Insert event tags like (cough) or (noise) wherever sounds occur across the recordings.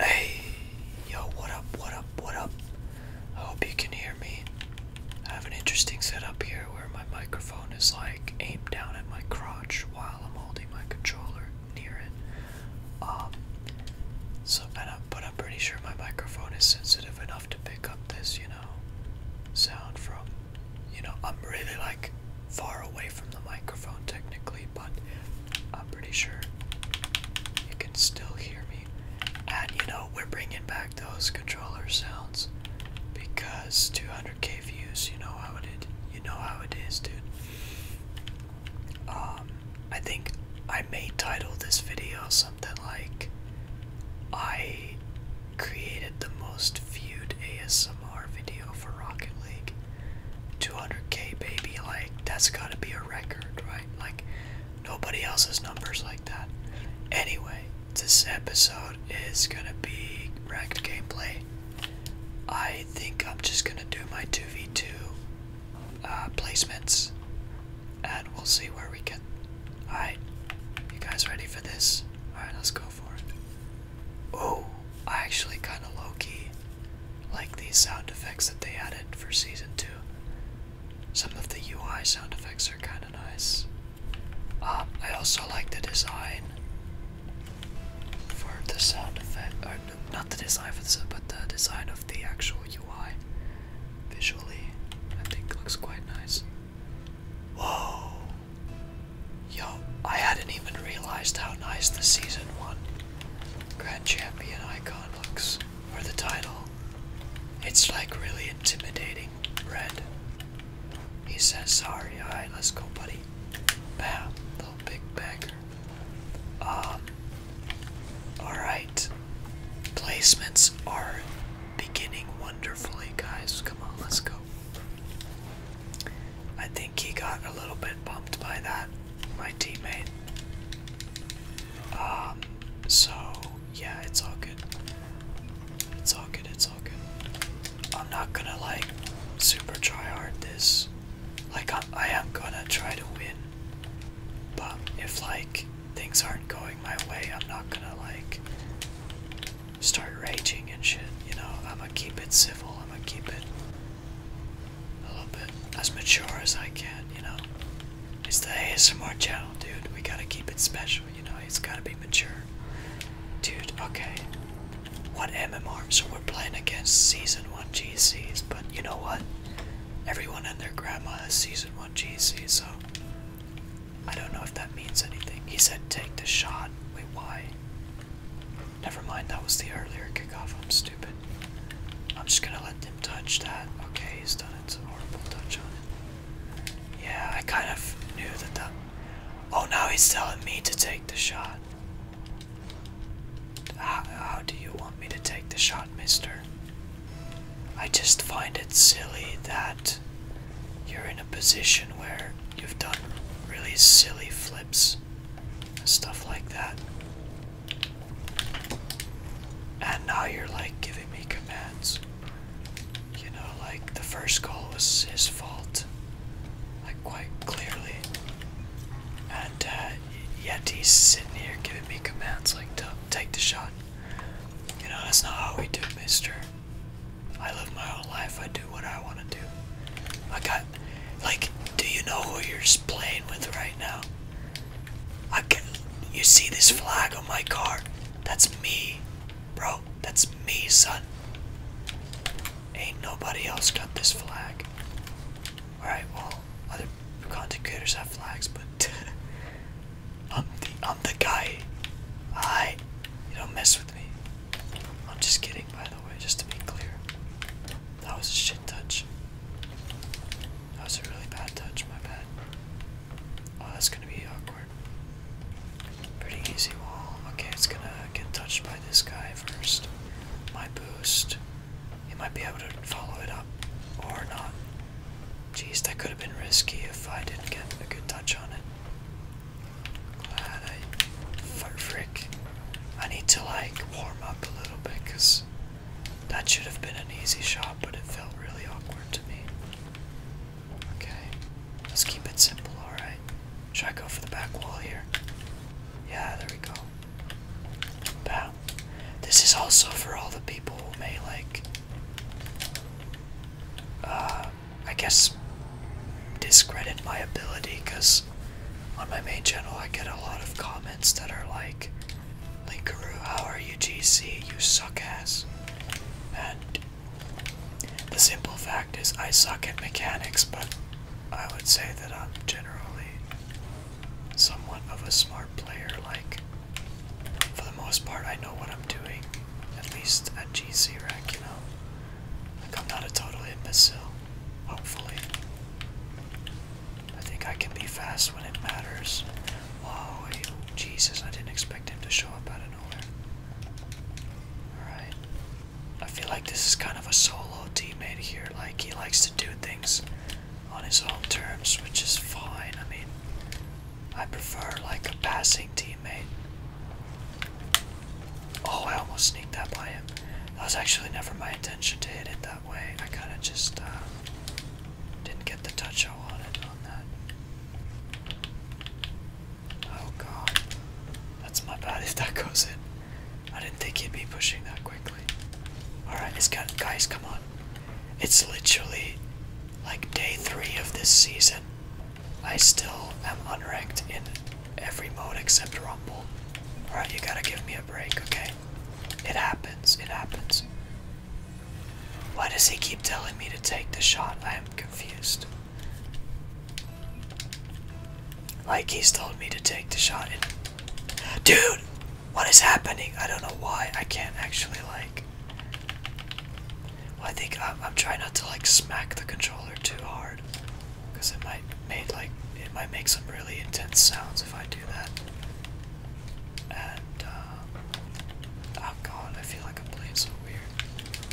Hey, yo, what up, what up, what up? I hope you can hear me. I have an interesting setup here where my microphone is like aimed down at my crotch while I'm holding my controller near it. Um, so, and I'm, but I'm pretty sure my microphone is sensitive enough to pick up this, you know, sound from, you know, I'm really like far away from the microphone technically, but I'm pretty sure you can still hear me. And you know, we're bringing back those controller sounds because 200k views, you know how it is. You know how it is, dude. Um, I think I may title this video something like I created the most viewed ASMR video for Rocket League. 200k, baby. Like, that's gotta be a record, right? Like, nobody else's numbers like that. Anyway, this episode is gonna be ranked gameplay. I think I'm just gonna do my 2v2 uh, placements and we'll see where we get. Alright, you guys ready for this? Alright, let's go for it. Oh, I actually kind of low like these sound effects that they added for season 2. Some of the UI sound effects are kind of nice. Um, I also like the design for the sound effect, not the design for the but the design of the actual UI. Visually, I think looks quite nice. Whoa! Yo, I hadn't even realized how nice the season one Grand Champion icon looks, or the title. It's like really intimidating red. He says, sorry, alright, let's go, buddy. Bam, little big bagger. Um, alright. Placements are beginning wonderfully, guys. Come on, let's go. I think he got a little bit bumped by that, my teammate. Um, so yeah, it's all good. It's all good, it's all good. I'm not gonna like super try hard this. Like, I'm, I gonna try to win, but if like things aren't going my way, I'm not gonna like start raging and shit, you know? I'm gonna keep it civil, I'm gonna keep it a little bit as mature as I can, you know. It's the ASMR channel, dude. We gotta keep it special, you know. It's gotta be mature, dude. Okay, what MMR? So we're playing against season one GCs, but you know what? Everyone and their grandma has season one GCs. so I don't know if that means anything. He said, "Take the shot." Wait, why? Never mind, that was the earlier kickoff. I'm stupid. I'm just gonna let them touch that. Okay, he's done it. It's a horrible touch on it. Yeah, I kind of knew that that. Oh, now he's telling me to take the shot. how do you want me to take the shot, mister? I just find it silly that you're in a position where you've done really silly flips stuff like that. And now you're like giving me commands. You know, like the first goal was his fault, like quite clearly. And uh, yet he's sitting here giving me commands like to take the shot. You know, that's not how we do, mister. I live my own life, I do what I want to do. I got like, do you know who you're playing with right now? I can. You see this flag on my car? That's me, bro. That's me, son. Ain't nobody else got this flag. Alright, well, other content creators have flags, but (laughs) I'm the I'm the guy. I, you don't mess with me. I'm just kidding, by the way, just to be clear. That was a shit touch. That was a really bad touch, my bad. Oh, that's gonna be awkward. Pretty easy wall. Okay, it's gonna get touched by this guy first. My boost. He might be able to follow it up or not. Geez, that could have been risky if I didn't get a good touch on it. Glad uh, I frick. I need to like warm up a little bit because that should have been an easy shot, but it felt really awkward to me. Okay, let's keep it simple, alright? Should I go for the back wall here? Yeah, there we go. Bam. This is also for all the people who may like, uh, I guess discredit my ability because on my main channel I get a lot of comments that are like, Linkaroo, how are you GC? You suck ass. And the simple fact is I suck at mechanics, but I would say that I'm generally somewhat of a smart player. Like, for the most part, I know what I'm doing, at least at GC Rack, you know? Like, I'm not a total imbecile. Hopefully. I think I can be fast when it matters. Oh, Jesus, I didn't expect him to show up out of nowhere. Alright. I feel like this is kind of a solo teammate here. Like, he likes to do things on his own terms, which is fine. I mean, I prefer, like, a passing teammate. Oh, I almost sneaked that by him. That was actually never my intention to hit it that way. I kind of just uh, didn't get the touch I wanted on that. Oh god. That's my bad (laughs) if that goes in. I didn't think he'd be pushing that quickly. Alright, it's got guys, come on. It's literally like day three of this season. I still am unranked in Every mode except Rumble. Alright, you gotta give me a break, okay? It happens, it happens. Why does he keep telling me to take the shot? I am confused. Like he's told me to take the shot Dude! What is happening? I don't know why. I can't actually like well, I think I'm, I'm trying not to like smack the controller too hard because it might made like it might make some really intense sounds if I do that. Uh, oh god, I feel like I'm playing so weird.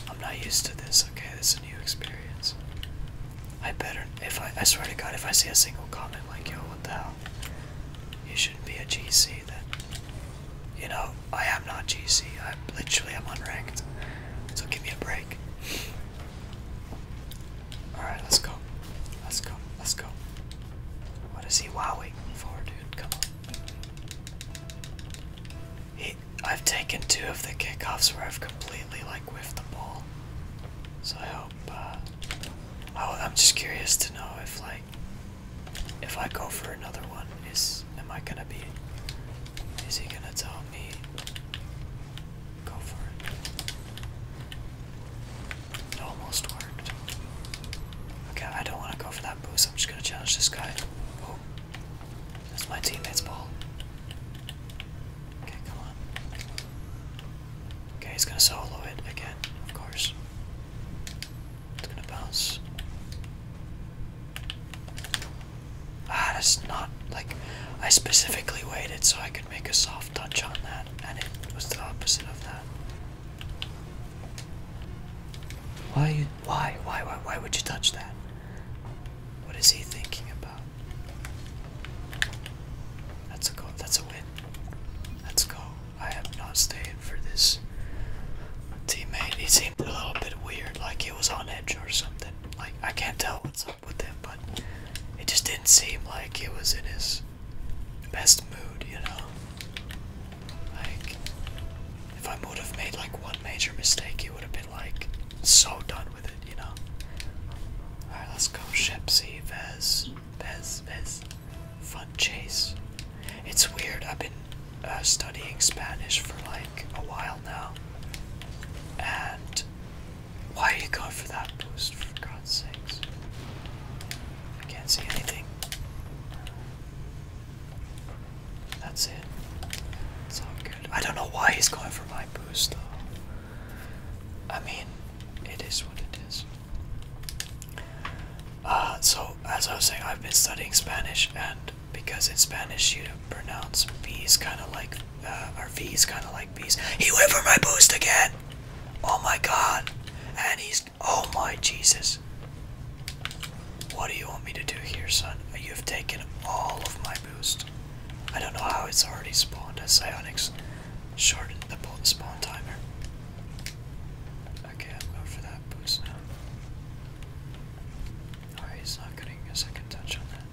I'm not used to this. Okay, this is a new experience. I better if I I swear to God if I see a single comment like yo what the hell you shouldn't be a GC then you know I am not GC I literally am unranked so give me a break Alright, let's go. Let's go. Let's go. What is he wow waiting for, dude? Come on. I've taken two of the kickoffs where I've completely like whiffed the ball. So I hope uh I, I'm just curious to know if like if I go for another one is am I gonna be is he gonna tell me Go for it. It almost worked. Okay, I don't want to go for that boost. I'm just going to challenge this guy. Oh, that's my teammate's ball. Okay, come on. Okay, he's going to solo it again, of course. It's going to bounce. Ah, that's not like I specifically waited so I could make a soft touch on that, and it was the opposite of that. Why you why why why why would you touch that? What is he thinking about? That's a go that's a win. Let's go. I am not staying for this teammate seemed a little bit weird, like he was on edge or something. Like I can't tell what's up with him, but it just didn't seem like he was in his best mood, you know. Like if I would have made like one major mistake, he would have been like so done with it, you know. Alright, let's go. Shepsy, Vez, Vez, Vez. Fun chase. It's weird. I've been uh, studying Spanish for like a while now, and why are you going for that boost, for God's sakes? I can't see anything. That's it. It's all good. I don't know why he's going for my boost, though. I mean, it is what it is. Uh, so, as I was saying, I've been studying Spanish, and because in Spanish you pronounce "v's" kind of like, uh, our V's kind of like B's. He went for my boost again! Oh my god! And he's, oh my Jesus. What do you want me to do here, son? You have taken all of my boost. I don't know how it's already spawned a Psionics short shortened the spawn timer. Okay, I'm going for that boost now. Alright, he's not getting a second touch on that.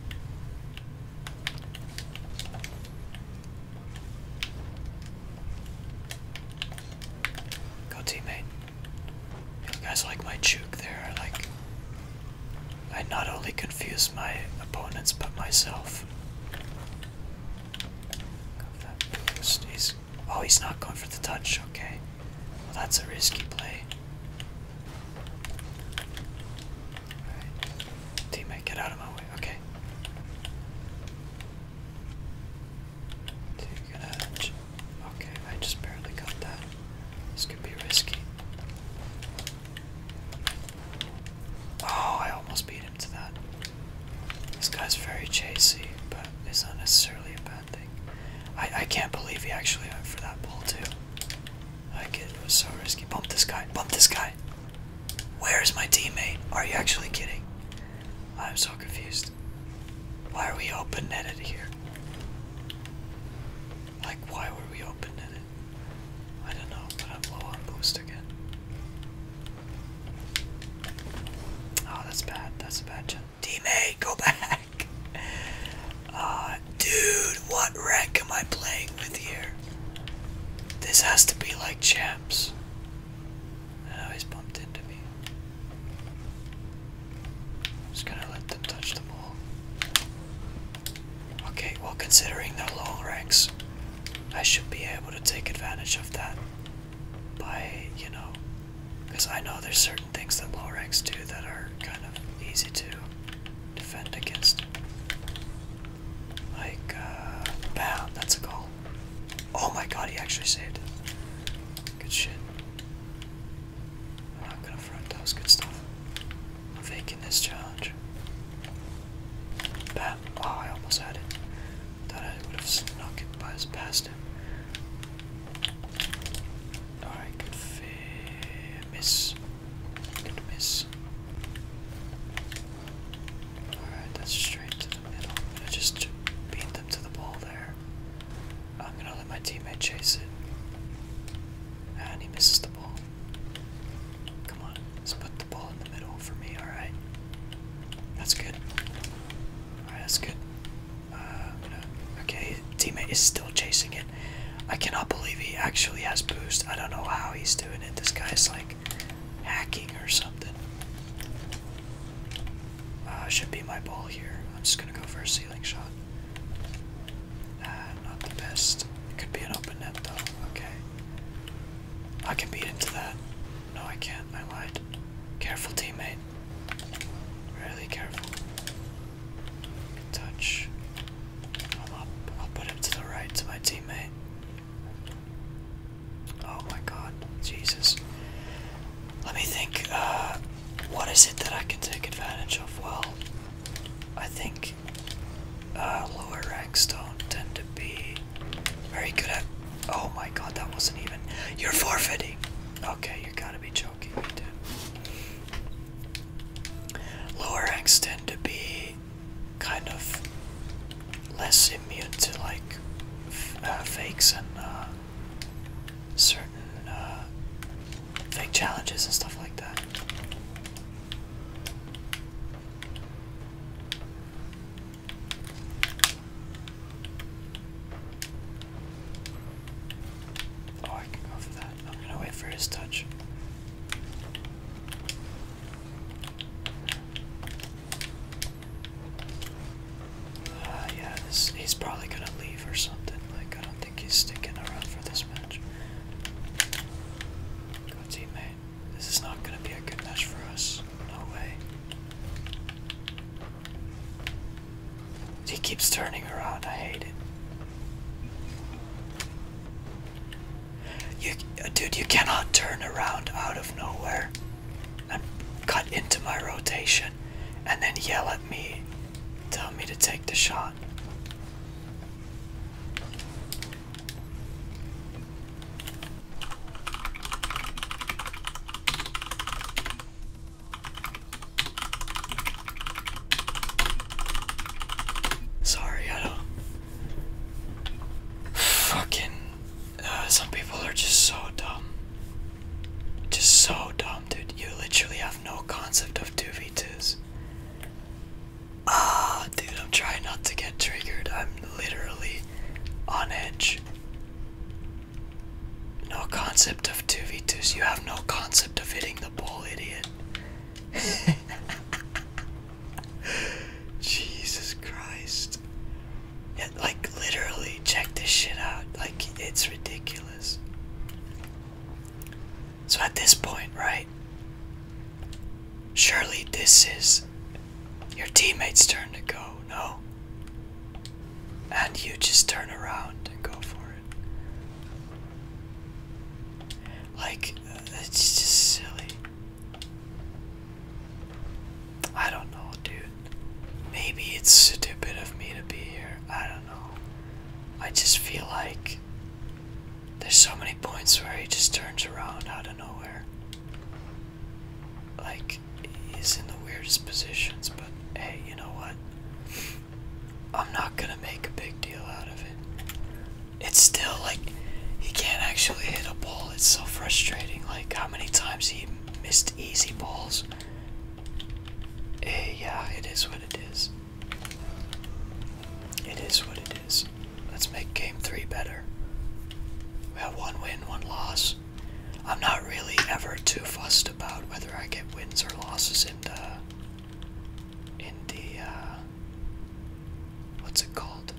Go teammate. You guys like my juke there, I like I not only confuse my opponents but myself. oh he's not going for the touch, okay. Well, that's a risky play. Teammate, get out of my way. Okay. Dude, Okay, I just barely got that. This could be risky. Oh, I almost beat him to that. This guy's very chasey, but it's not necessarily a bad thing. I, I can't believe he actually went for that ball, too. Like it was so risky. Bump this guy. Bump this guy. Where is my teammate? Are you actually kidding? I'm so confused. Why are we open netted here? Like why were we open netted? I don't know, but I'm low on boost again. Oh, that's bad. That's a bad chance. Teammate, go back. Uh, dude, what rank am I playing with here? This has to be like champs. Oh, he's bumped into me. Just gonna let them touch the ball. Okay, well, considering their long ranks, I should be able to take advantage of that by, you know, because I know there's certain things that low ranks do that are kind of easy to defend against. Like, uh, bam, that's a goal. Oh my god, he actually saved Good shit. I'm not gonna front, that was good stuff. I'm faking this challenge. Bam. Oh, I almost had it. Thought I would have snuck it by his past him. Alright, good miss. Good miss. Alright, that's straight to the middle. I'm gonna just beat them to the ball there. I'm gonna let my teammate chase it. And he misses the ball. Come on, let's put the ball in the middle for me, alright? That's good. Alright, that's good. Uh, okay, teammate is still chasing it. I cannot believe he actually has boost. I don't know how he's doing it. This guy's like hacking or something. Uh, should be my ball here. I'm just gonna go for a ceiling shot. Uh, not the best. could be an open net though. Okay. I can beat into that. No, I can't. I lied. Careful, teammate. Really careful touch. i will put him to the right to my teammate. Oh my god. Jesus. Let me think. Uh, what is it that I can take advantage of? Well, I think uh, lower ranks don't tend to be very good at. Oh my god, that wasn't even. You're forfeiting! Okay, you gotta be joking. Lower ranks tend to be kind of less immune to like uh, fakes and uh, certain uh, fake challenges and stuff like that. Oh, I can go for that. I'm gonna wait for his touch. Uh, yeah, he's probably gonna leave or something. Like, I don't think he's sticking around for this match. Go, teammate. This is not gonna be a good match for us. No way. He keeps turning around. I hate it. You, uh, dude, you cannot turn around out of nowhere and cut into my rotation and then yell at me, tell me to take the shot. Sorry, I don't. Fucking. Uh, some people are just so dumb. Just so dumb, dude. You literally have no concept of 2v2s. Ah, dude, I'm trying not to get triggered. I'm literally on edge. No concept of 2 v two. You have no concept of hitting the ball, idiot. (laughs) Jesus Christ. like, literally, check this shit out. Like, it's ridiculous. So, at this point, right? Surely this is your teammate's turn to go, no? And you just turn around and go for it. Like, uh, it's just silly. I don't know, dude. Maybe it's stupid of me to be here. I don't know. I just feel like there's so many points where he just turns around out of nowhere. Like, he's in the weirdest positions, but hey, you know what? I'm not gonna make a big deal out of it. It's still like he can't actually hit a ball. It's so frustrating. Like how many times he missed easy balls. Eh, yeah, it is what it is. It is what it is. Let's make game three better. We have one win, one loss. I'm not really ever too fussed about whether I get wins or losses in the in the uh, what's it called?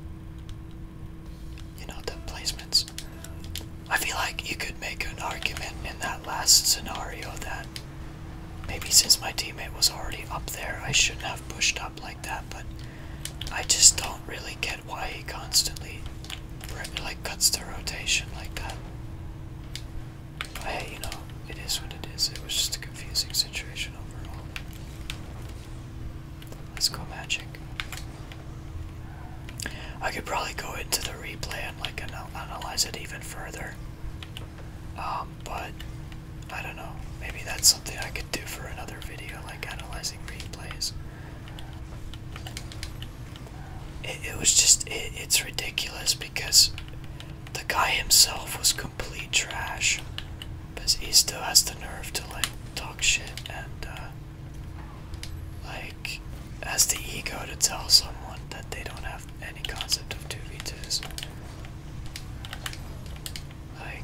You know, the placements. I feel like you could make an argument in that last scenario that maybe since my teammate was already up there, I shouldn't have pushed up like that, but I just don't really get why he constantly like cuts the rotation like that hey, you know, it is what it is. It was just a confusing situation overall. Let's go magic. I could probably go into the replay and like analyze it even further. Um, but I don't know. Maybe that's something I could do for another video, like analyzing replays. It, was just, it's ridiculous because the guy himself was complete trash. But he still has the nerve to like talk shit and uh, like has the ego to tell someone that they don't have any concept of 2v2s. Like,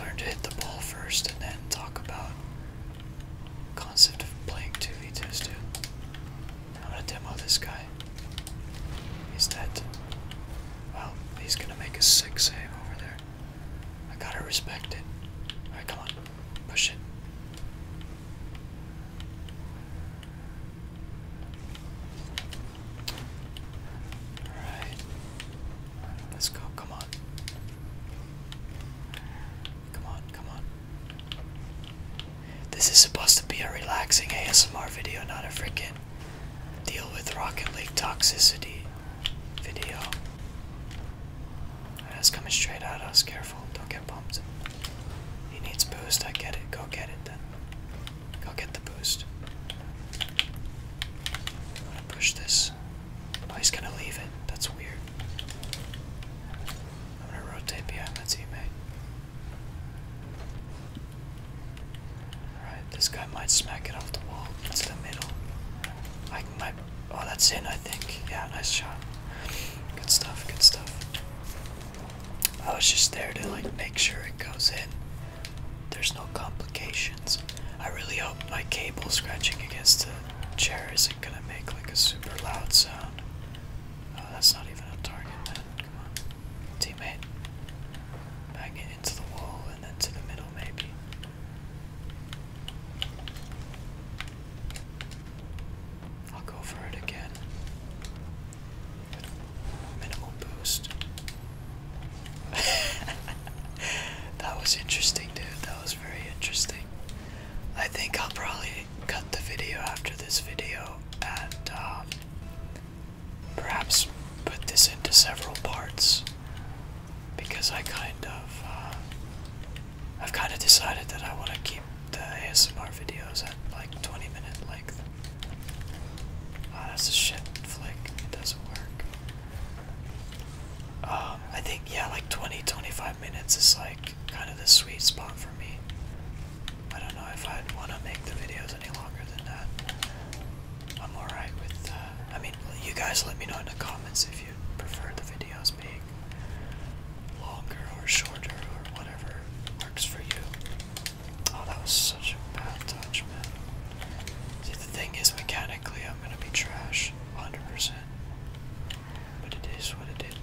learn to hit the ball first and then talk about concept of playing 2v2s, I'm gonna demo this guy. He's dead. Well, he's gonna make a sick save over there. I gotta respect it. Alright, come on. Push it. Alright. Let's go. Come on. Come on, come on. This is supposed to be a relaxing ASMR video, not a freaking deal with Rocket lake toxicity video. That's coming straight at us. Careful, don't get bumped. He needs boost. I get it. Go get it then. Go get the boost. I'm gonna push this. Oh, he's gonna leave it. That's weird. I'm gonna rotate behind my teammate. Alright, this guy might smack it off the wall into the middle. I might. Oh, that's in, I think. Yeah, nice shot. Good stuff, good stuff. I was just there to like make sure it goes in. There's no complications. I really hope my cable scratching against the chair is gonna make like a super loud sound. Oh, that's not even a target then. Come on. Teammate. Bang into the wall and then to the middle maybe. I'll go for it again. Minimal boost. (laughs) that was interesting, dude. That was very interesting. I think I'll probably cut the video after this video and um, perhaps put this into several parts because I kind of uh, I've kind of decided that I want to keep the ASMR videos at like 20 minute like ah, that's a shit flick. It doesn't work. Um, I think yeah, like 20-25 minutes is like kind of the sweet spot for me. I don't know if I'd want to make the videos any longer than that. I'm alright with, uh, I mean, you guys let me know in the comments if you prefer the videos being longer or shorter or whatever works for you. Oh, that was such a bad touch, man. See, the thing is, mechanically, I'm gonna be trash, 100%. But it is what it is.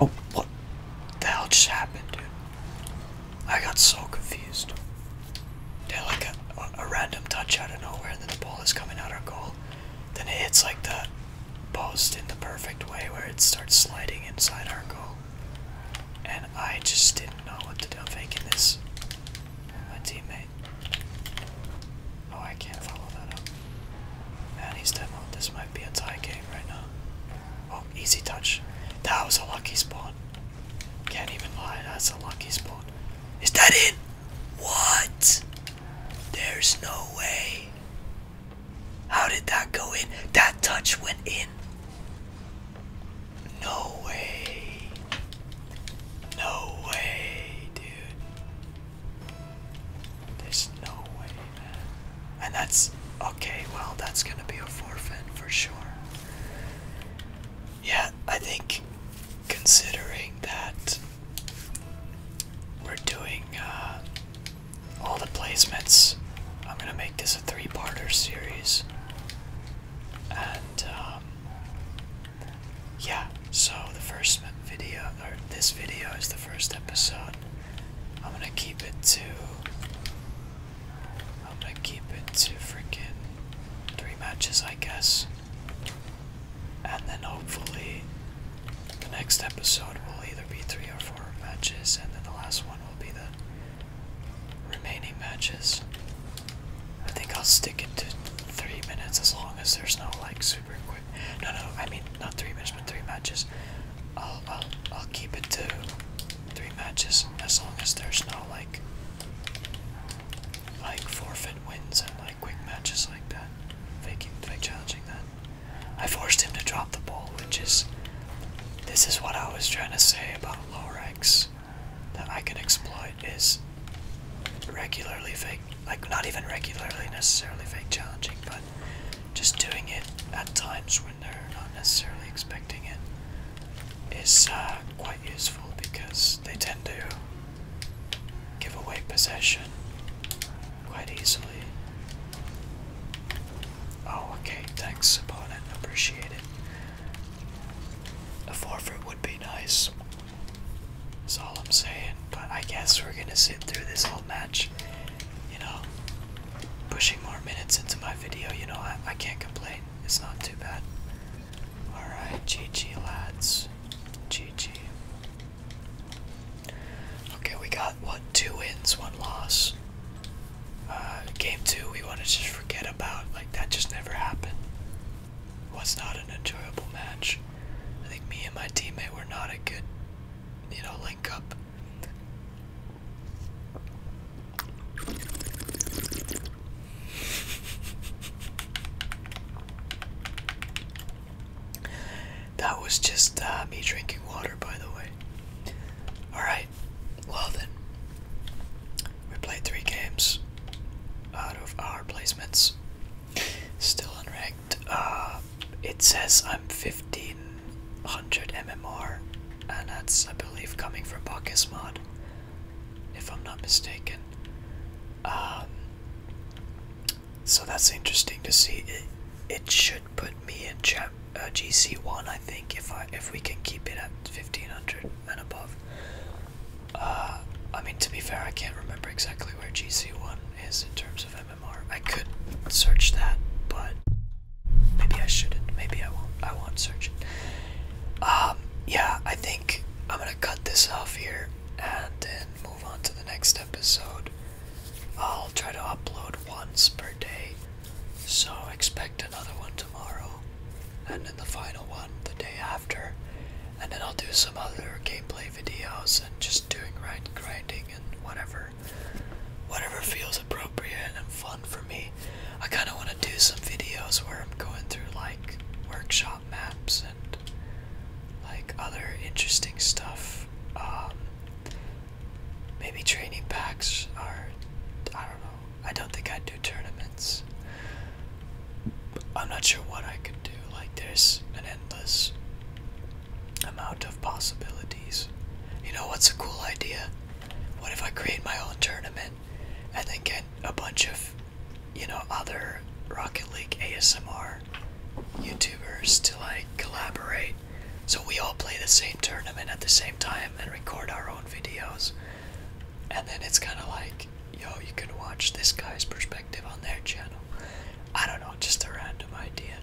Oh, what the hell just happened, dude? I got so confused. Did like a, a random touch out of nowhere, and then the ball is coming out our goal. Then it hits like the post in the perfect way where it starts sliding inside our goal. And I just didn't know what to do. I'm faking this. My teammate. Oh, I can't follow that up. Man, he's dead This might be a tie game right now. Oh, easy touch. That was a lucky spawn. Can't even lie, that's a lucky spawn. Is that in? What? There's no way. How did that go in? That touch went in. No way. No way, dude. There's no way, man. And that's okay, well, that's gonna be a forfeit for sure. Yeah, I think considering that we're doing uh, all the placements, I'm gonna make this a three parter series. And, um, yeah, so the first video, or this video, is the first episode. I'm gonna keep it to. I'm gonna keep it to freaking three matches, I guess. And then hopefully, the next episode will either be three or four matches, and then the last one will be the remaining matches. I think I'll stick it to three minutes as long as there's no like super no, no, I mean not three matches, but three matches. I'll, I'll, I'll keep it to three matches as long as there's no like, like forfeit wins and like quick matches like that. Faking, fake challenging that. I forced him to drop the ball, which is, this is what I was trying to say about Lorex that I can exploit is regularly fake, like not even regularly necessarily fake challenging, but just doing it at times when they're not necessarily expecting it is uh, quite useful because they tend to give away possession quite easily. Oh, okay, thanks, opponent. Appreciate it. A forfeit would be nice. That's all I'm saying. But I guess we're gonna sit through this whole match. You know, pushing more minutes into my video. You know, I, can't complain. It's not too bad. All right, GG lads, GG. Okay, we got what two wins, one loss. Uh, game two, we want to just forget about. Like that just never happened. Was not an enjoyable match. I think me and my teammate were not a good, you know, link up. That was just uh, me drinking water, by the way. Alright, well then. We played three games out of our placements. Still unranked. Uh, it says I'm 1500 MMR, and that's, I believe, coming from Bacchus mod, if I'm not mistaken. Um, so that's interesting to see. It, should put me in chap, uh, GC1, I think, if I if we can keep it at 1500 and above. Uh, I mean, to be fair, I can't remember exactly where GC1 is in terms of MMR. I could search that, but maybe I shouldn't. Maybe I won't. I won't search it. Um, yeah, I think I'm gonna cut this off here and then move on to the next episode. I'll try to upload once per day, so expect another one tomorrow, and then the final one the day after, and then I'll do some other gameplay videos and just doing right grinding and whatever whatever feels appropriate and fun for me. I kind of want to do some videos where I'm going through like workshop maps and like other interesting stuff. Um, maybe training packs are I don't know. I don't think I'd do tournaments. I'm not sure what I could do. Like there's endless amount of possibilities. You know what's a cool idea? What if I create my own tournament and then get a bunch of, you know, other Rocket League ASMR YouTubers to like collaborate so we all play the same tournament at the same time and record our own videos? And then it's kind of like yo, you can watch this guy's perspective on their channel. I don't know, just a random idea.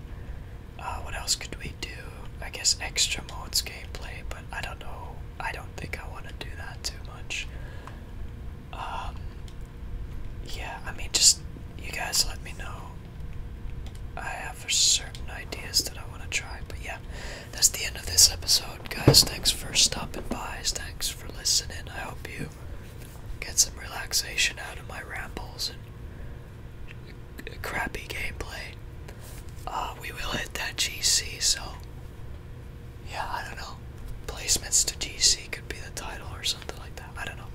Uh, what else could we do? I guess extra modes gameplay, but I don't know. I don't think I want to do that too much. Um, yeah, I mean, just you guys let me know. I have certain ideas that I want to try, but yeah, that's the end of this episode, guys. Thanks for stopping by. Thanks for listening. I hope you get some relaxation out of my rambles and crappy gameplay. Uh, we will hit that GC, so yeah, I don't know. Placements to GC could be the title or something like that. I don't know.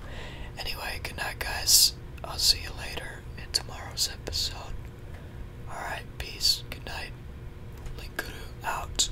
Anyway, good night, guys. I'll see you later in tomorrow's episode. Alright, peace, good night. Linkuru out.